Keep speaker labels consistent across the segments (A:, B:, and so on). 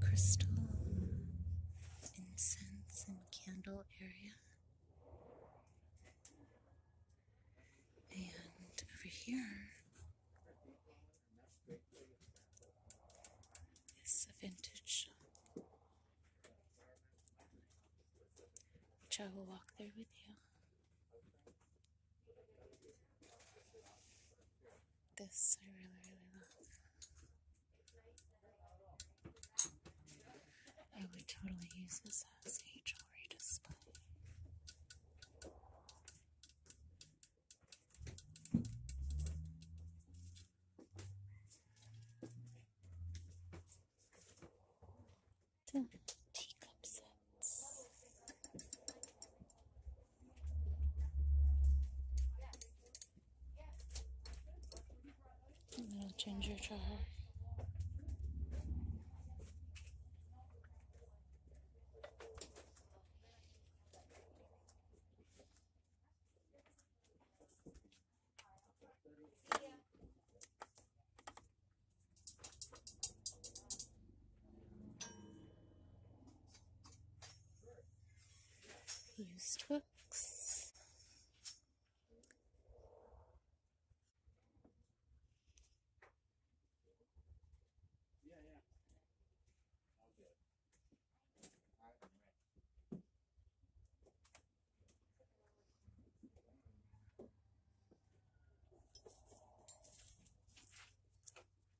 A: crystal incense and candle area. And over here is a vintage shop, which I will walk there with you. This I really, really love. I would totally use this as a jewelry display. Teacup sets. Little ginger jar. Use Twix.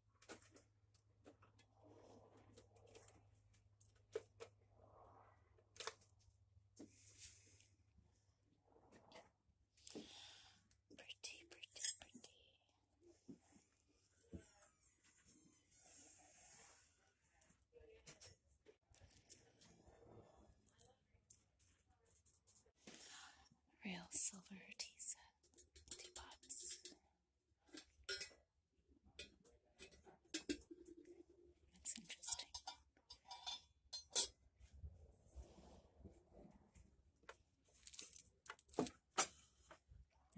A: Pretty, pretty, pretty. Real silver tea set, teapots.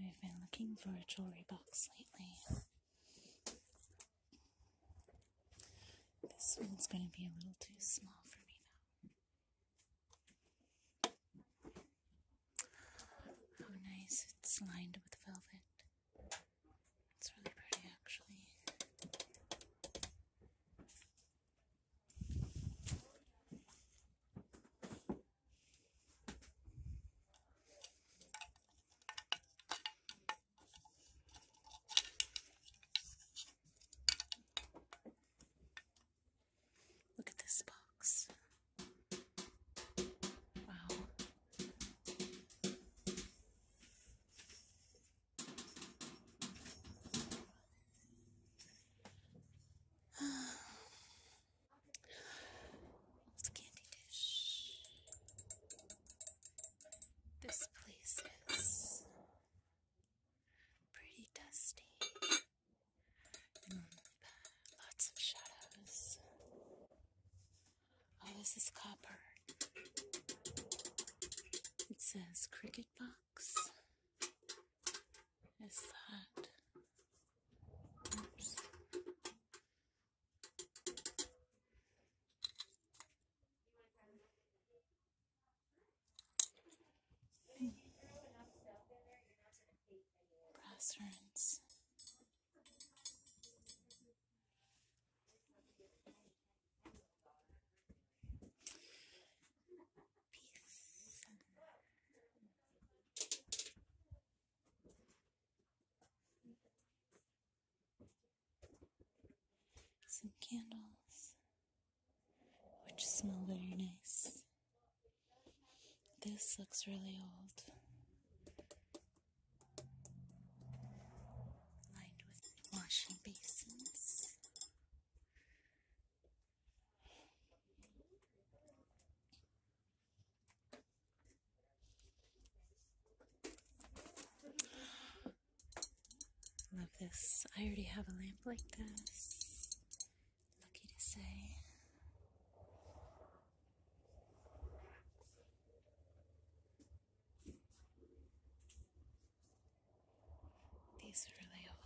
A: I've been looking for a jewelry box lately. This one's going to be a little too small for me, though. Oh, nice. It's lined with velvet. It's really pretty, actually. Look at this box. Wow. Old candy dish. This place is pretty dusty lots of shadows. Oh, this is copper. It says cricket box. Is that? Oops. Restaurants. Some candles, which smell very nice. This looks really old. Lined with washing basins. Love this. I already have a lamp like this lucky to say. These are really old.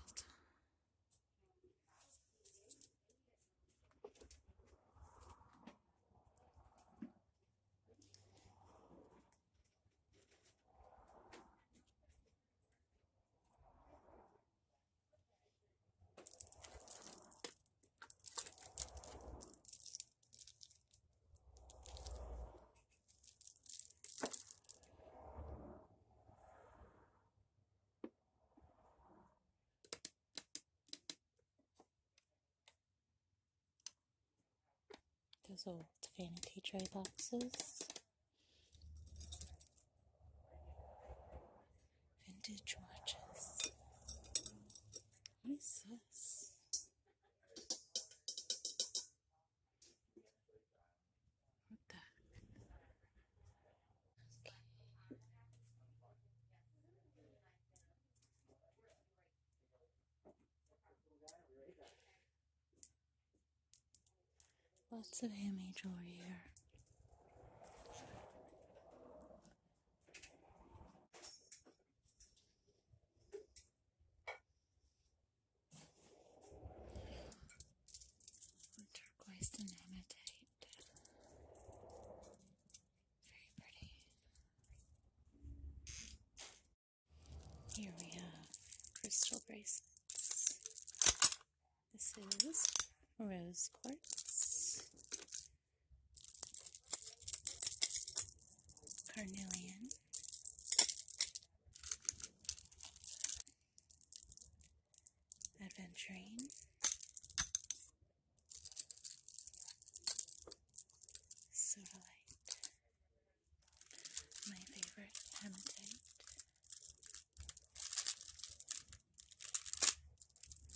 A: Those old vanity tray boxes Vintage watches. What the Lots of handmade over here. Turquoise dynamitite. Very pretty. Here we have crystal bracelets. This is rose quartz, carnelian, adventurine, sodalite, my favorite hematite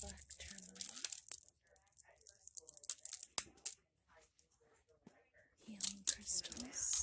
A: black tourmaline, healing crystals.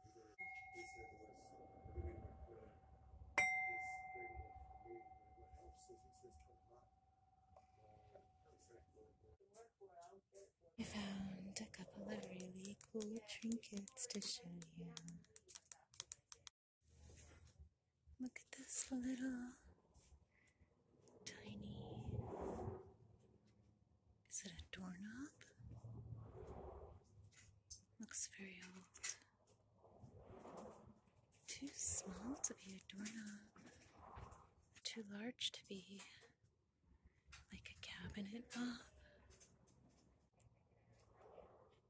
A: I found a couple of really cool trinkets to show you. Look at this little tiny. Is it a doorknob? Looks very old. Too small to be a doorknob. Too large to be like a cabinet knob.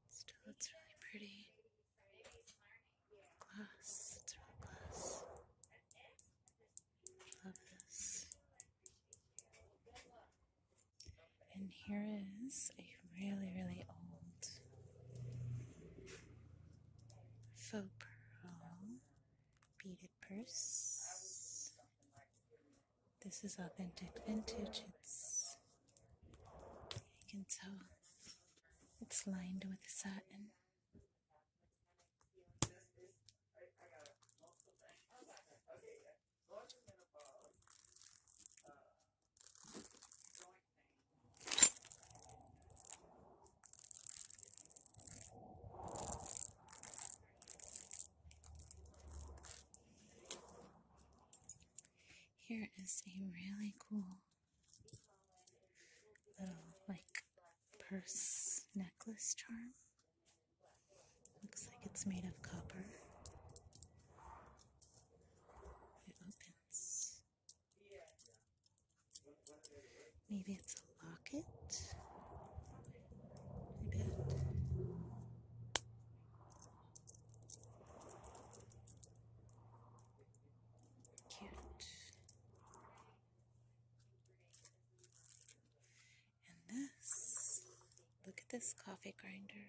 A: Still, it's really pretty. Glass, it's real glass. Love this. And here is a really, really old faux pearl beaded purse. This is authentic vintage. It's, you can tell it's lined with satin. Here is a really cool little like purse necklace charm. Looks like it's made of copper. It opens. Maybe it's a locket. I bet. Cute. And this, look at this coffee grinder.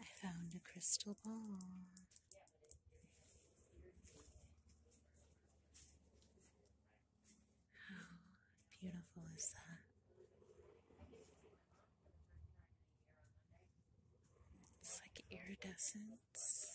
A: I found a crystal ball. How beautiful is that? It's like iridescence.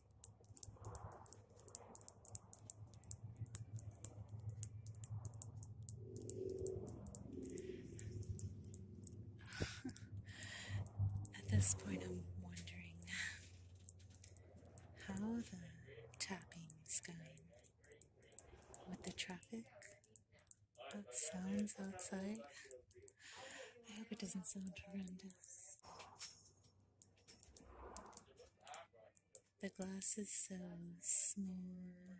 A: At this point, I'm wondering how the tapping is going with the traffic of sounds outside. I hope it doesn't sound horrendous. The glass is so smooth.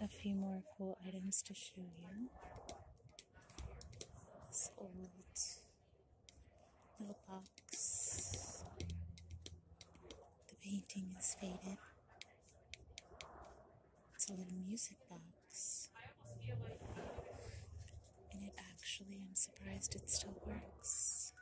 A: A few more cool items to show you. This old little box. The painting is faded. It's a little music box. And it actually, I'm surprised it still works.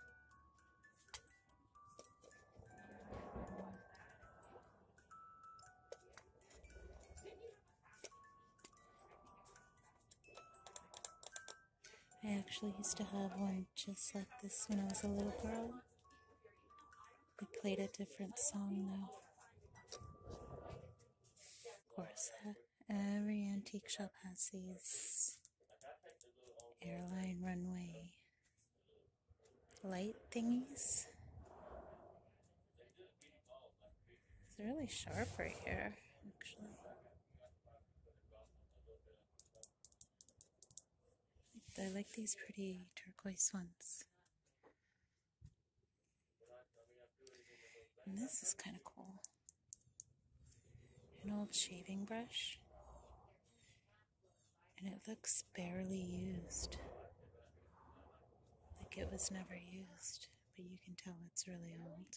A: I actually used to have one just like this when I was a little girl. We played a different song though. Of course, uh, every antique shop has these airline runway light thingies. It's really sharp right here, actually. I like these pretty turquoise ones. And this is kind of cool. An old shaving brush. And it looks barely used. Like it was never used, but you can tell it's really old.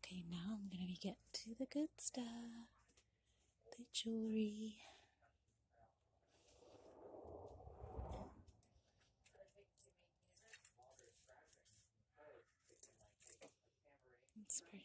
A: Okay, now I'm going to be getting to the good stuff the jewelry. It's pretty.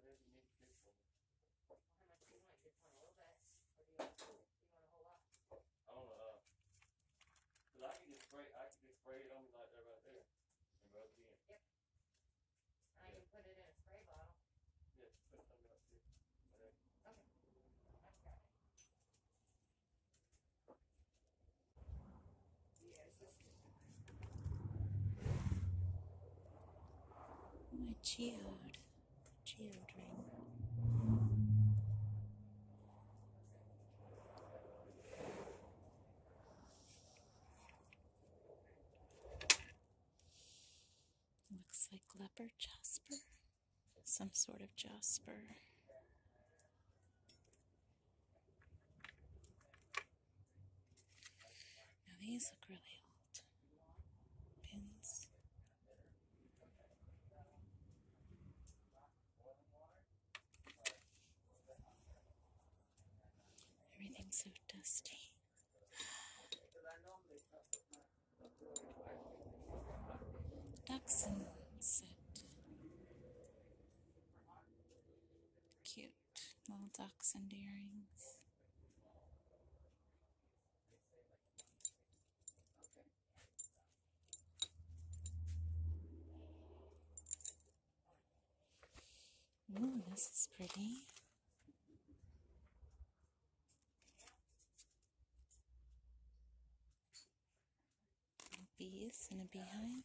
A: Whatever you need to do for me. Well, how much do you want? You just want a little bit, or do you want, do you want a whole lot? I want a, uh, cause I can just spray, I can just spray it on me like that right there, and rub it in. Yep. And I can put it in a spray bottle. Yeah, put something up there, whatever. Okay. I've got it. My cheered children. Looks like leopard jasper, some sort of jasper. Now these look really old pins. Everything's so dusty. Ducks Cute little ducks and earrings. Ooh, this is pretty. Bees in a beehive.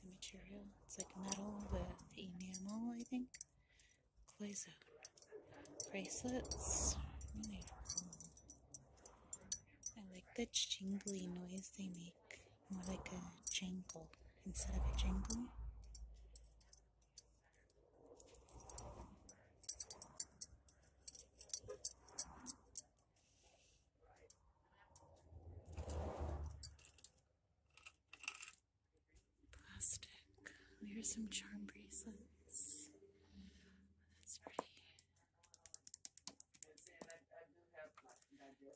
A: the material. It's like metal with enamel, I think. Clay Bracelets. I like the jingly noise they make. More like a jingle instead of a jingle. Plastic. Here's some charm bracelets. That's pretty.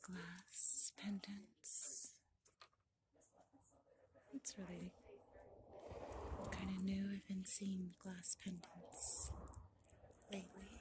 A: Glass pendants. It's really kind of new. I've been seeing glass pendants lately.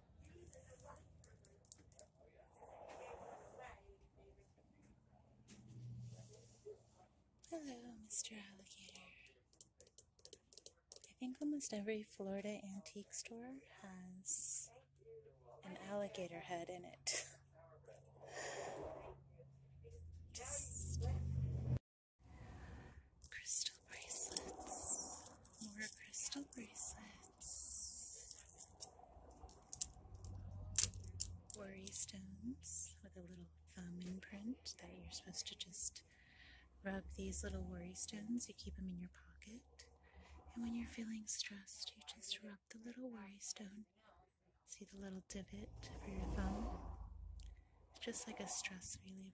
A: Hello, Mr. Alligator. I think almost every Florida antique store has an alligator head in it. crystal bracelets, more crystal bracelets, worry stones with a little thumb imprint that you're supposed to just rub these little worry stones. You keep them in your pocket, and when you're feeling stressed, you just rub the little worry stone. See the little divot for your thumb? It's just like a stress reliever.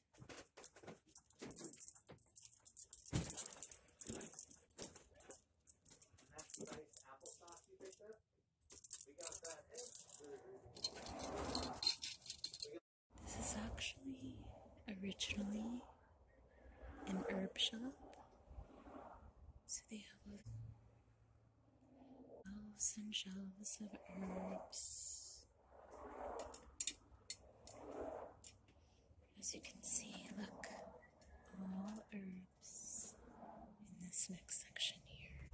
A: This is actually originally an herb shop. So they have shelves and shelves of herbs. As you can see, look, all herbs in this next section here.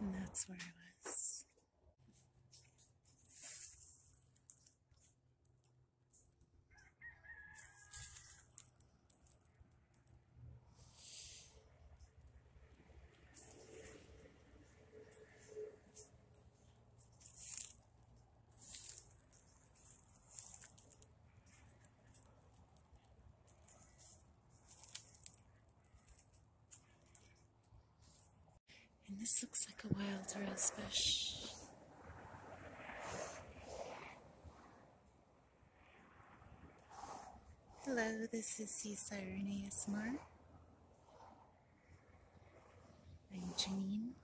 A: And that's where I was. And this looks like a wild rose bush. Hello, this is C. Sirene ASMR. I'm Janine.